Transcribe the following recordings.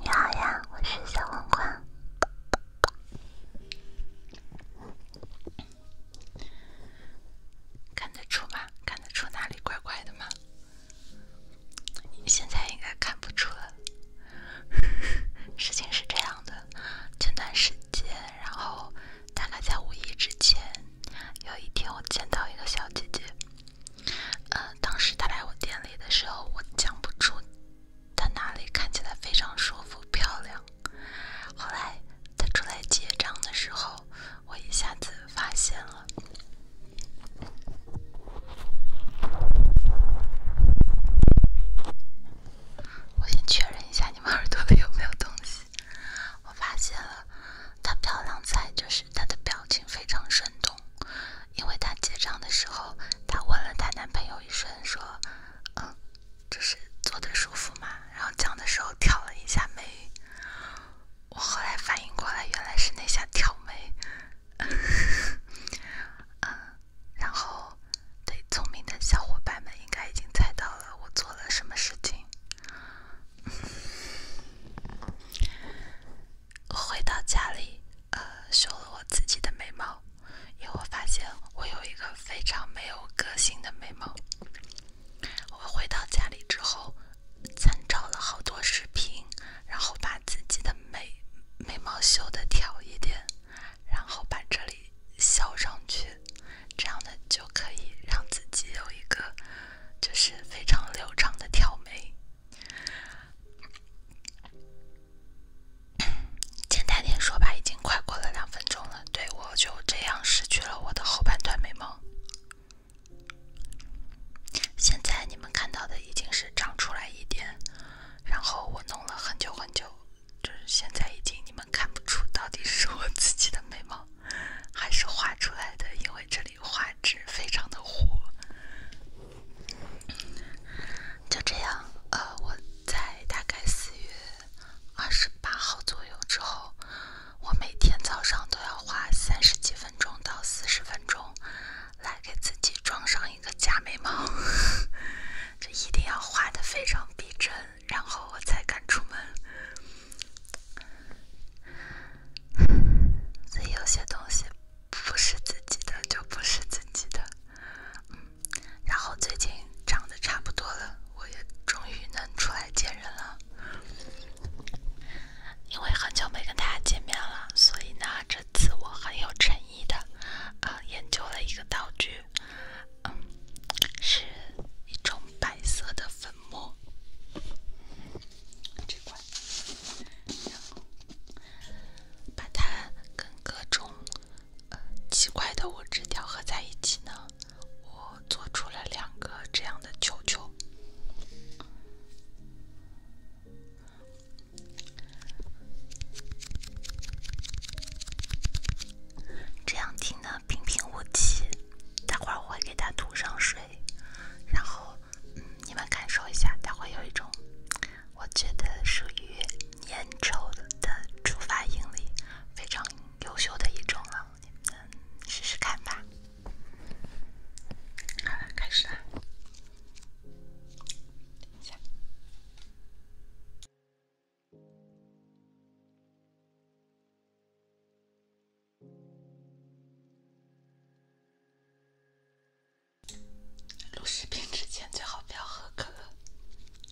你好呀，我是小黄瓜。看得出吗？看得出哪里怪怪的吗？现在应该看不出了。事情是这样的，前段时间，然后大概在五一之前。有一天我见到一个小姐姐，呃，当时她来我店里的时候，我讲不出她哪里看起来非常舒服漂亮。后来她出来结账的时候，我一下子发现了。我先确认一下你们耳朵里有没有东西，我发现了。她漂亮在就是她的表情非常生动，因为她结账的时候，她问了她男朋友一声，说：“嗯，就是坐的舒服吗？”然后讲的时候挑了一下眉。我后来反应过来，原来是那下挑眉。嗯，然后，对，聪明的小伙伴们应该已经猜到了我做了什么事情。我回到家里，呃，修了我自己的眉毛，因为我发现我有一个非常没有个性的眉毛。我回到家里之后，参照了好多视频，然后把自己的眉眉毛修的挑一点，然后把这里削上去。这样的就可以让自己有一个就是非常流畅的挑眉。简单点说吧，已经快过了两分钟了。对我就这样失去了我的后半段眉毛。现在你们看到的已经是长出来一点，然后我弄了很久很久，就是现在已经你们看不出到底是我自己的眉毛。还是画出来的，因为这里画质非常的糊。就这样，呃，我在大概四月二十八号左右之后，我每天早上都要花三十几分钟到四十分钟，来给自己装上一个假眉毛，这一定要画的非常逼真。然后我才敢出门，所以有些东西不是自己的就不是自己的。然后最近长得差不多了，我也终于能出来见人了。因为很久没跟大家见面了，所以呢，这次我很有诚意的啊研究了一个道具。嗯，是一种白色的粉末，这块，然后把它跟各种呃奇怪的物质调和在一起呢，我做出了两个这样的球球，这样听呢。平平无奇，待会儿我会给它涂上水，然后，你们感受一下，它会有一种，我觉得属于粘稠的触发应力，非常优秀的一种了，你们试试看吧。好了，开始啦。等一下。录视频之前最好不要喝可乐。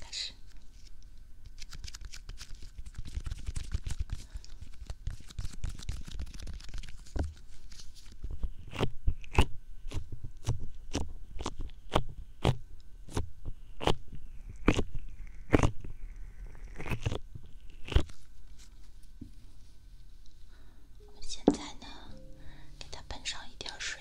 开始。我们现在呢，给它喷上一点水，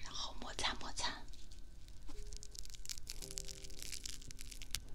然后摩擦摩擦。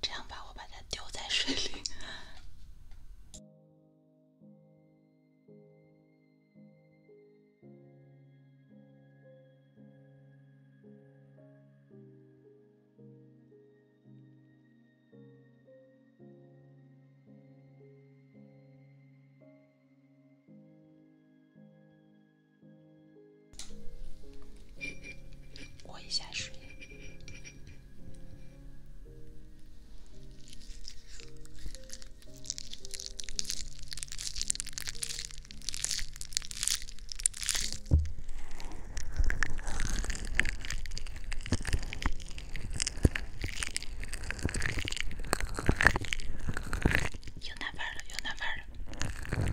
这样吧，我把它丢在水里。我一下水。有那边的有那边的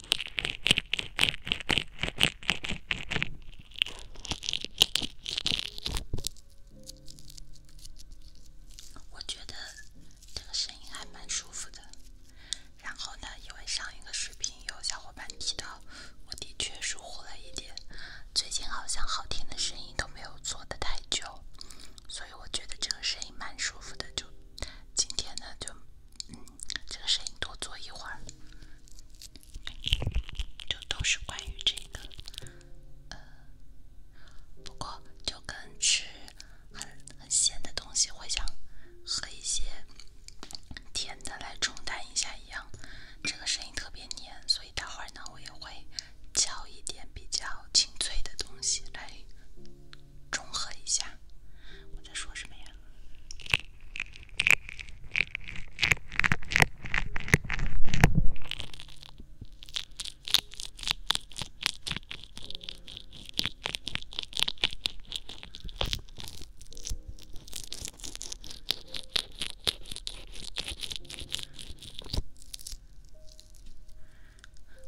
我觉得这个声音还蛮舒服的。然后呢，因为上一个视频有小伙伴提到，我的确疏忽了一点，最近好像好听的声音都没有做的太久，所以我觉得这个声音蛮舒服的。就今天呢，就。嗯，这个声音多做一会儿，就都是关于这个。呃，不过就跟吃很很咸的东西会想喝一些甜的来冲淡一下一样，这个声音特别黏，所以待会儿呢我也会敲一点比较清脆的东西来。中和一下，我在说什么呀？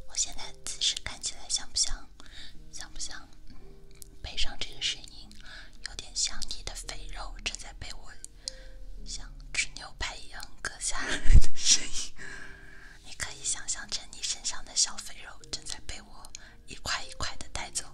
我现在姿势看起来像不像？像不像？嗯，背上这个声音，有点像你的肥肉正在被我像吃牛排一样割下来的声音。你可以想象成你身上的小肥肉正在被我一块一块的带走。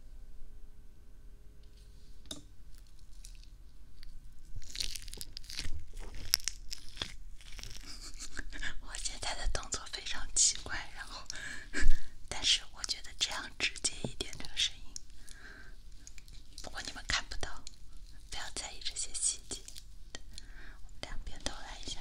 我现在的动作非常奇怪，然后，但是我觉得这样直接一点，这个声音。不过你们看不到，不要在意这些细节。两边都来一下。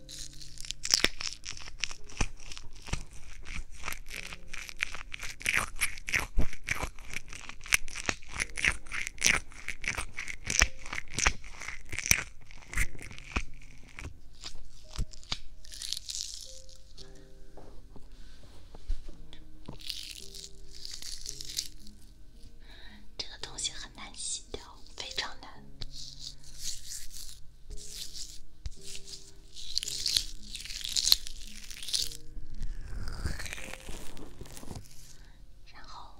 这个东西很。难洗掉，非常难。然后，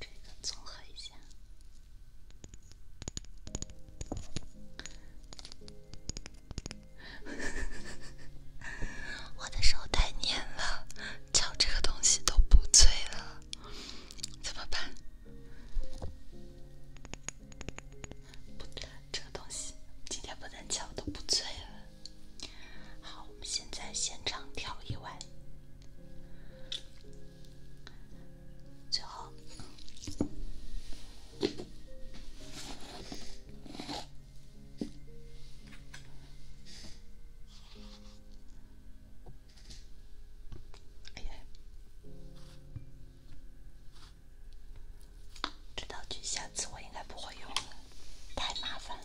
这个综合一下。我的手太粘了，敲这个东西都不脆了。怎么办？不，这个东西今天不能抢，都不醉了。好，我们现在现场调一碗，最后。这道具下次我应该不会用了，太麻烦了。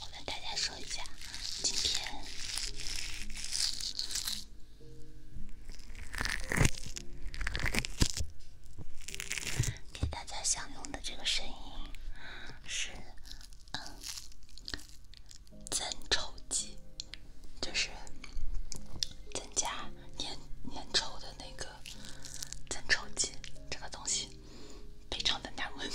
我跟大家说一下，今天。给大家享用的这个声音是增稠剂，就是增加粘稠的那个增稠剂，这个东西非常的难闻。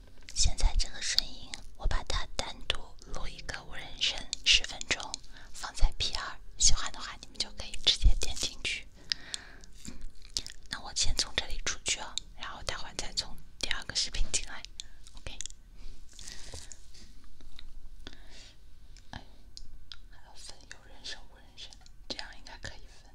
现在这个声音，我把它单独录一个无人声，十分钟，放在 P 二。喜欢的话，你们就可以直接点进去。那我先从这里出去哦，然后待会儿再从第二个视频进来。OK。哎，还要分有人声、无人声，这样应该可以分。